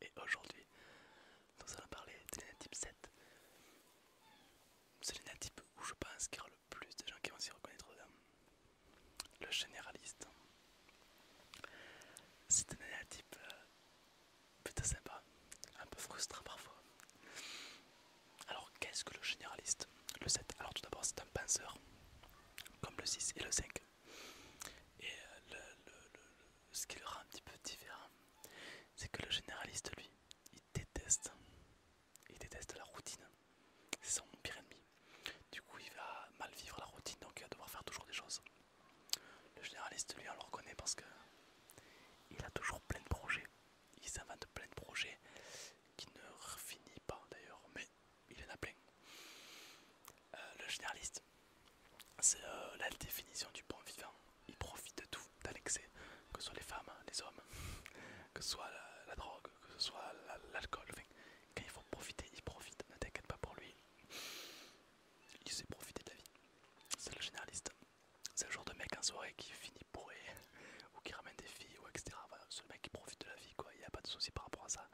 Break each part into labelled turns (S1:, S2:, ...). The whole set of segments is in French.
S1: Et aujourd'hui, nous allons parler de lunettes 7. C'est lunettes où je pense qu'il y aura le plus de gens qui vont s'y reconnaître euh, Le généraliste. C'est un lunettes plutôt sympa, un peu frustrant parfois. Alors qu'est-ce que le généraliste Le 7, alors tout d'abord c'est un penseur, comme le 6 et le 5. Et euh, ce qui le rend un petit peu différent, c'est que le généraliste, lui, il déteste, il déteste la routine. C'est son pire ennemi. Du coup, il va mal vivre la routine, donc il va devoir faire toujours des choses. Le généraliste, lui, on le reconnaît parce que il a toujours plein de projets. Il s'invente plein de projets qui ne finissent pas d'ailleurs, il y en a plein. Euh, le généraliste, c'est euh, la définition du bon vivant. Il profite de tout, d'un que ce soit les femmes, les hommes, que ce soit la, drogue, que ce soit l'alcool. quand il faut profiter, il profite. Ne t'inquiète pas pour lui. Il sait profiter de la vie. C'est le généraliste. C'est le genre de mec en soirée qui finit bourré ou qui ramène des filles ou etc. Voilà, c'est le mec qui profite de la vie quoi. Il n'y a pas de souci par rapport à ça.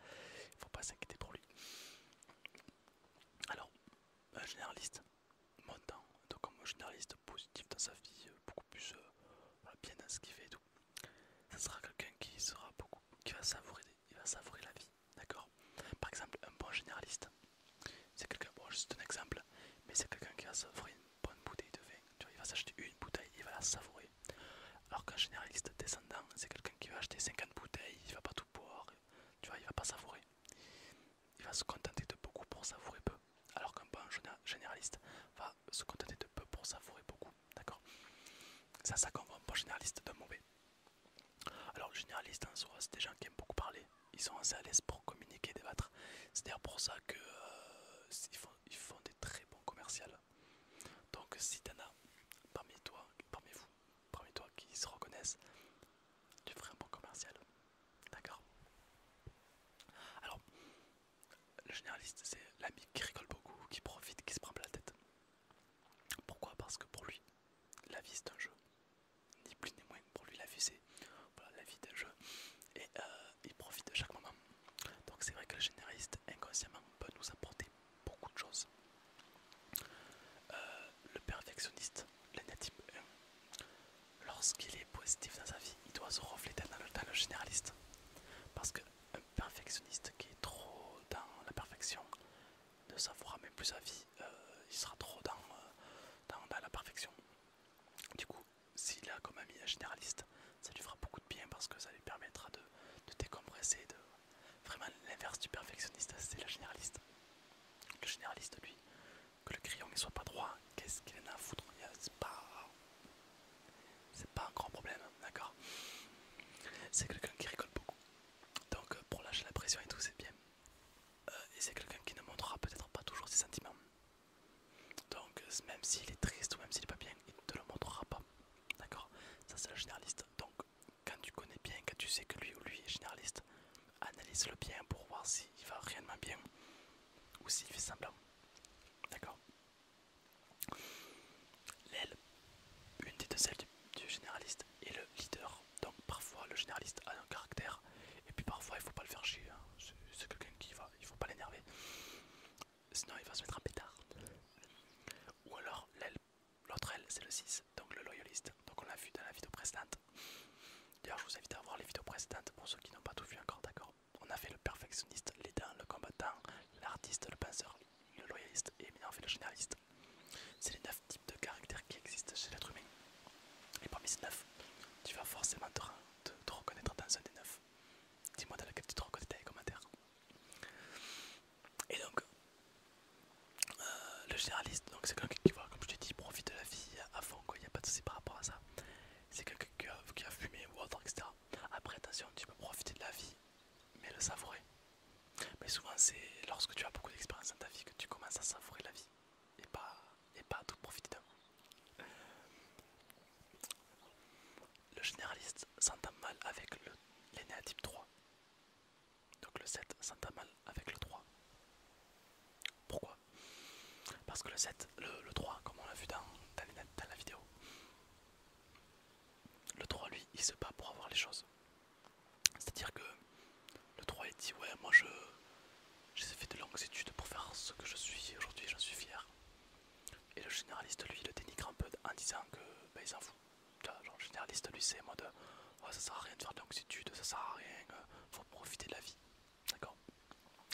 S1: Il ne faut pas s'inquiéter pour lui. Alors, un généraliste, montant, donc un généraliste positif dans sa vie, euh, beaucoup plus euh, bien dans ce qu'il fait et tout. Ce sera quelqu'un qui sera beaucoup, qui va savourer, il va savourer la vie, d'accord Par exemple, un bon généraliste, c'est quelqu'un, bon, juste un exemple, mais c'est quelqu'un qui va savourer une bonne bouteille de vin. il va s'acheter une bouteille, il va la savourer, alors qu'un généraliste descendant, c'est quelqu'un qui va acheter 50 bouteilles, il va pas tout boire, tu vois, il va pas savourer. Il va se contenter de beaucoup pour savourer peu. Alors qu'un bon généraliste va se contenter de peu pour savourer beaucoup. D'accord C'est ça qu'on voit un bon généraliste de mauvais. Alors le généraliste en soi, c'est des gens qui aiment beaucoup parler. Ils sont assez à l'aise pour communiquer, débattre. C'est d'ailleurs pour ça que euh, font ils font des très bons commerciales. Donc si t'en as parmi toi, parmi vous, parmi toi qui se reconnaissent, tu ferais un bon commercial. D'accord Alors, le généraliste, c'est l'ami qui rigole beaucoup, qui profite, qui se prend plein la tête. Pourquoi Parce que pour lui, la vie c'est un jeu. Ni plus ni moins. Pour lui, la vie c'est la vie d'un jeu. Et euh, il profite de chaque moment. Donc c'est vrai que le généraliste inconsciemment peut nous apporter beaucoup de choses. Euh, le perfectionniste, l'anatype 1, lorsqu'il est positif dans sa vie, il doit se refléter dans le, généraliste. Parce qu'un perfectionniste qui est trop dans la perfection ne saura même plus sa vie, euh, il sera trop euh, dans la perfection. Du coup, s'il a comme ami un généraliste, ça lui fera beaucoup de bien parce que ça lui permettra de de décompresser, de vraiment l'inverse du perfectionniste, c'est la généraliste. Le généraliste, lui, que le crayon ne soit pas droit, qu'est-ce qu'il en a à foutre C'est pas, c'est pas un grand problème, d'accord C'est quelqu'un qui rigole beaucoup, donc euh, pour lâcher la pression et tout, c'est bien. Euh, et c'est quelqu'un qui ne montrera peut-être pas toujours ses sentiments, donc euh, même s'il est triste ou même s'il n'est pas bien, il ne te le montrera pas. D'accord Ça c'est le généraliste. Donc quand tu connais bien, quand tu sais que lui ou lui est généraliste, analyse-le bien pour voir s'il va réellement bien ou s'il fait semblant. D'accord L'aile, une des deux ailes du, généraliste, est le leader. Donc parfois le généraliste a un caractère et puis parfois il faut pas le faire chier. Hein. C'est quelqu'un qui va, il faut pas l'énerver. Sinon il va se mettre à pétard. Ou alors l'autre L c'est le 6, donc le loyaliste. Donc on l'a vu dans la vidéo précédente. D'ailleurs je vous invite à voir les vidéos précédentes pour ceux qui n'ont pas tout vu encore, d'accord On a fait le perfectionniste, l'aidant, le combattant, l'artiste, le penseur, le loyaliste et maintenant on fait le généraliste. C'est les 9 types de caractères qui existent chez l'être humain. Les premiers 9, tu vas forcément te, te reconnaître dans un des 9. Dis-moi dans laquelle tu te reconnais dans les commentaires. Et donc, euh, le généraliste, donc c'est quelqu'un qui, voit comme je te dis, profite de la vie à fond, quoi. Il n'y a pas de soucis par rapport à ça. C'est quelqu'un qui, a fumé ou autre, etc. Après, attention, tu peux profiter de la vie, mais le savourer. Mais souvent, c'est lorsque tu as beaucoup d'expérience dans ta vie que tu commences à savourer la vie et pas et pas tout profiter. Le généraliste s'entend mal avec le l'énéatype 3. Donc le 7 s'entend mal avec le 3. Pourquoi Parce que le 7, le, 3, comme on l'a vu dans la vidéo, le 3 lui il se bat pour avoir les choses. C'est-à-dire que le 3 il dit ouais moi je j'ai fait de longues études pour faire ce que je suis aujourd'hui j'en suis fier. Et le généraliste, lui, le dénigre un peu en disant que ben, s'en fout. le généraliste, lui, c'est en mode oh, ça sert à rien de faire de longues études, ça sert à rien, euh, faut profiter de la vie. D'accord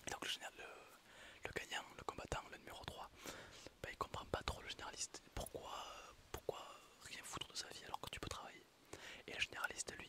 S1: Et donc, le, général, le, gagnant, le combattant, le numéro 3, ben, il comprend pas trop le généraliste. Pourquoi, pourquoi rien foutre de sa vie alors que tu peux travailler Et le généraliste, lui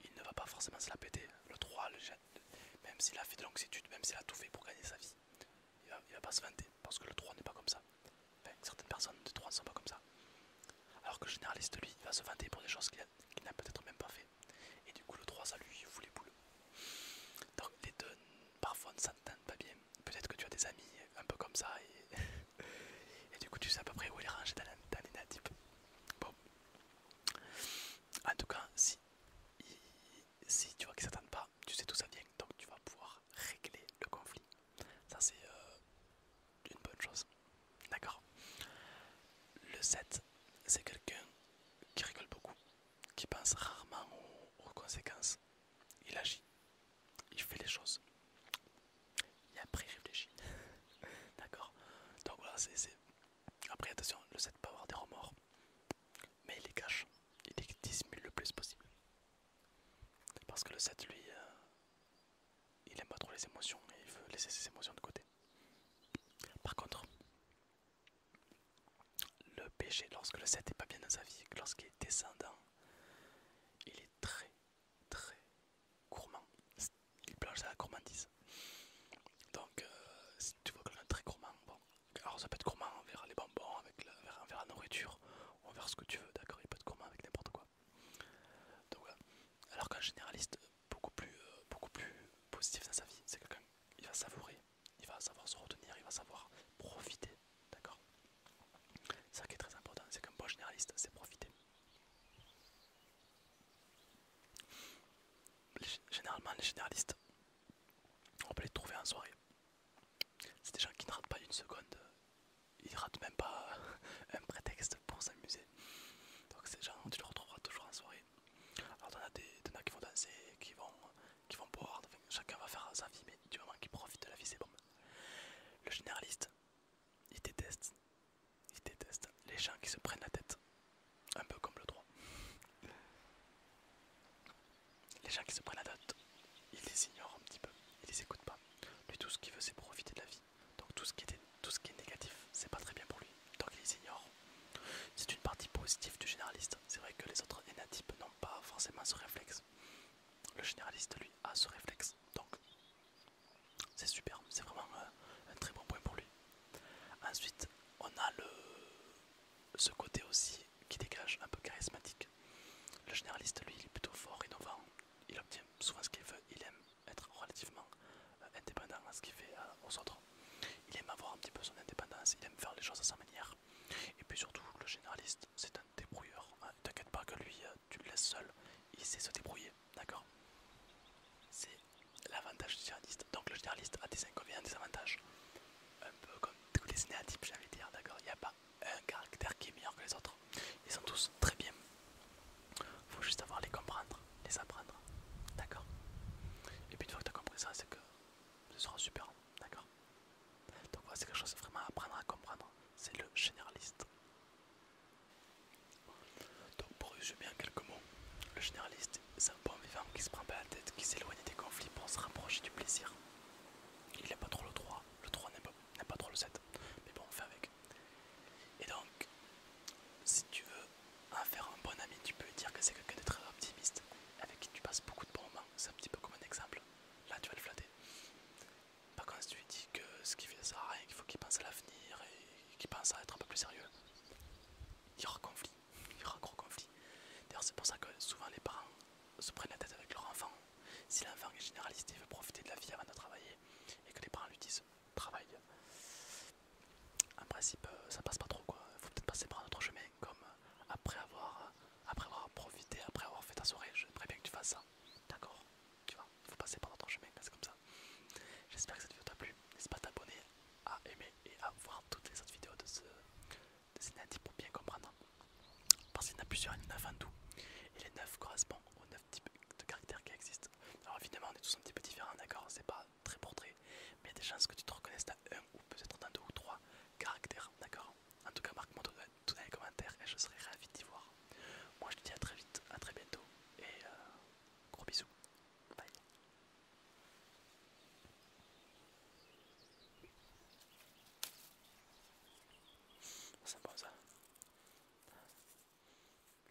S1: il ne va pas forcément se la péter. Le 3, le, même s'il a fait de études, même s'il a tout fait pour gagner sa vie, il va, pas se vanter parce que le 3 n'est pas comme ça. certaines personnes de 3 ne sont pas comme ça. Alors que le généraliste, lui, il va se vanter pour des choses qu'il n'a peut-être même pas fait. Et du coup, le 3, ça lui fout les boules. Donc les deux, parfois, ne s'entendent pas bien. Peut-être que tu as des amis un peu comme ça et. Et du coup, tu sais à peu près où il est rangé dans, les Bon. En tout cas, si, tu vois qu'ils s'attendent pas, tu sais d'où ça vient, donc tu vas pouvoir régler le conflit. Ça, c'est euh, une bonne chose. D'accord Le 7, c'est quelqu'un qui rigole beaucoup, qui pense rarement aux conséquences. Il agit il fait les choses. Et après, il réfléchit. D'accord Donc voilà, c'est. Après, attention, le 7 peut avoir des remords, mais il les cache, il les dissimule le plus possible. Parce que le 7, lui, euh, il aime pas trop les émotions et il veut laisser ses émotions de côté. Par contre, le péché, lorsque le 7 est pas bien dans sa vie, lorsqu'il est descendant, il est très très gourmand. Il plonge à la gourmandise. Donc, euh, si tu vois quelqu'un de très gourmand, bon, alors ça peut être gourmand envers les bonbons, avec envers, la nourriture, envers ce que tu veux, d'accord Il peut être gourmand avec n'importe quoi. Donc Alors qu'un généraliste beaucoup plus, euh, beaucoup plus positif dans sa vie, c'est quelqu'un il va savourer, il va savoir se retenir, il va savoir profiter, d'accord ça qui est très important, c'est qu'un bon généraliste c'est profiter. généralement les généralistes, on peut les trouver en soirée. C'est des gens qui ne ratent pas une seconde, ils ratent même pas un prétexte pour s'amuser. Donc ces gens, tu les retrouveras toujours en soirée. Alors on as des gens qui vont danser, qui vont, qui vont boire, chacun va faire sa vie, mais du moment qu'ils profitent de la vie c'est bon. Le généraliste, il déteste, il déteste les gens qui se prennent la tête, un peu comme le droit. Les gens qui se prennent la tête, il les ignore un petit peu, il les écoute pas. Lui, tout ce qu'il veut, c'est profiter de la vie. Donc tout ce qui est, tout ce qui négatif, c'est pas très bien pour lui. Donc il les ignore. C'est une partie positive du généraliste. C'est vrai que les autres énatypes n'ont pas forcément ce réflexe. Le généraliste, lui, ce réflexe. Donc c'est super, c'est vraiment euh, un très bon point pour lui. Ensuite, on a le, ce côté aussi qui dégage un peu charismatique. Le généraliste, lui, il est plutôt fort, innovant. Il obtient souvent ce qu'il veut. Il aime être relativement euh, indépendant à ce qu'il fait euh, aux autres. Il aime avoir un petit peu son indépendance. Il aime faire les choses à sa manière. Et puis surtout, le généraliste, c'est un débrouilleur. Hein. T'inquiète pas que lui, euh, tu le laisses seul, il sait se débrouiller, d'accord C'est l'avantage du généraliste. Donc le généraliste a des inconvénients, des avantages. Un peu comme tous les cinéatypes, j'ai envie de dire, d'accord Il n'y a pas un caractère qui est meilleur que les autres. Ils sont tous très bien. Faut juste savoir les comprendre, les apprendre, d'accord Et puis une fois que tu as compris ça, c'est que ce sera super, d'accord donc voilà, c'est quelque chose vraiment à apprendre à comprendre, c'est le généraliste. Donc pour résumer en quelques mots, le généraliste, c'est un bon vivant qui se prend pas la tête, qui s'éloigne des conflits pour se rapprocher du plaisir. Il n'est pas trop le 3, le 3 n'a pas, pas trop le 7, mais bon, on fait avec. Et donc, si tu veux en faire un bon ami, tu peux dire que c'est quelqu'un de très optimiste, avec qui tu passes beaucoup de bons moments. C'est un petit peu comme un exemple là tu vas le flatter. Par contre, si tu lui dis que ce qu'il fait ça sert rien, qu'il faut qu'il pense à l'avenir et qu'il pense à être un peu plus sérieux, il y aura conflit, il y aura gros conflit. D'ailleurs, c'est pour ça que souvent les parents se prennent la tête avec leur enfant. Si l'enfant est généraliste, il veut profiter de la vie avant de travailler et que les parents lui disent travaille. En principe, euh, ça passe pas trop quoi, faut peut-être passer par un autre chemin comme euh, après avoir, euh, après avoir profité, après avoir fait ta soirée, j'aimerais bien que tu fasses ça. D'accord Tu vois, il faut passer par notre chemin, c'est comme ça. J'espère que cette vidéo t'a plu. N'hésite pas à t'abonner, à aimer et à voir toutes les autres vidéos de ce de pour bien comprendre. Parce qu'il y en a plusieurs, il y en a Et les 9 correspondent aux 9 types de caractères qui existent. Alors évidemment, on est tous un petit peu différents, d'accord C'est pas très portrait Mais il y a des chances que tu te reconnaisses un ou peut-être dans deux ou trois caractères, d'accord En tout cas, marque-moi tout, dans les commentaires et je serai ravi d'y voir. Moi, je te dis à très vite, à très bientôt et euh, gros bisous. Bye. C'est bon ça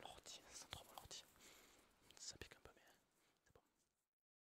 S1: L'ortie, sent trop bon l'ortie. Ça pique un peu mais c'est bon.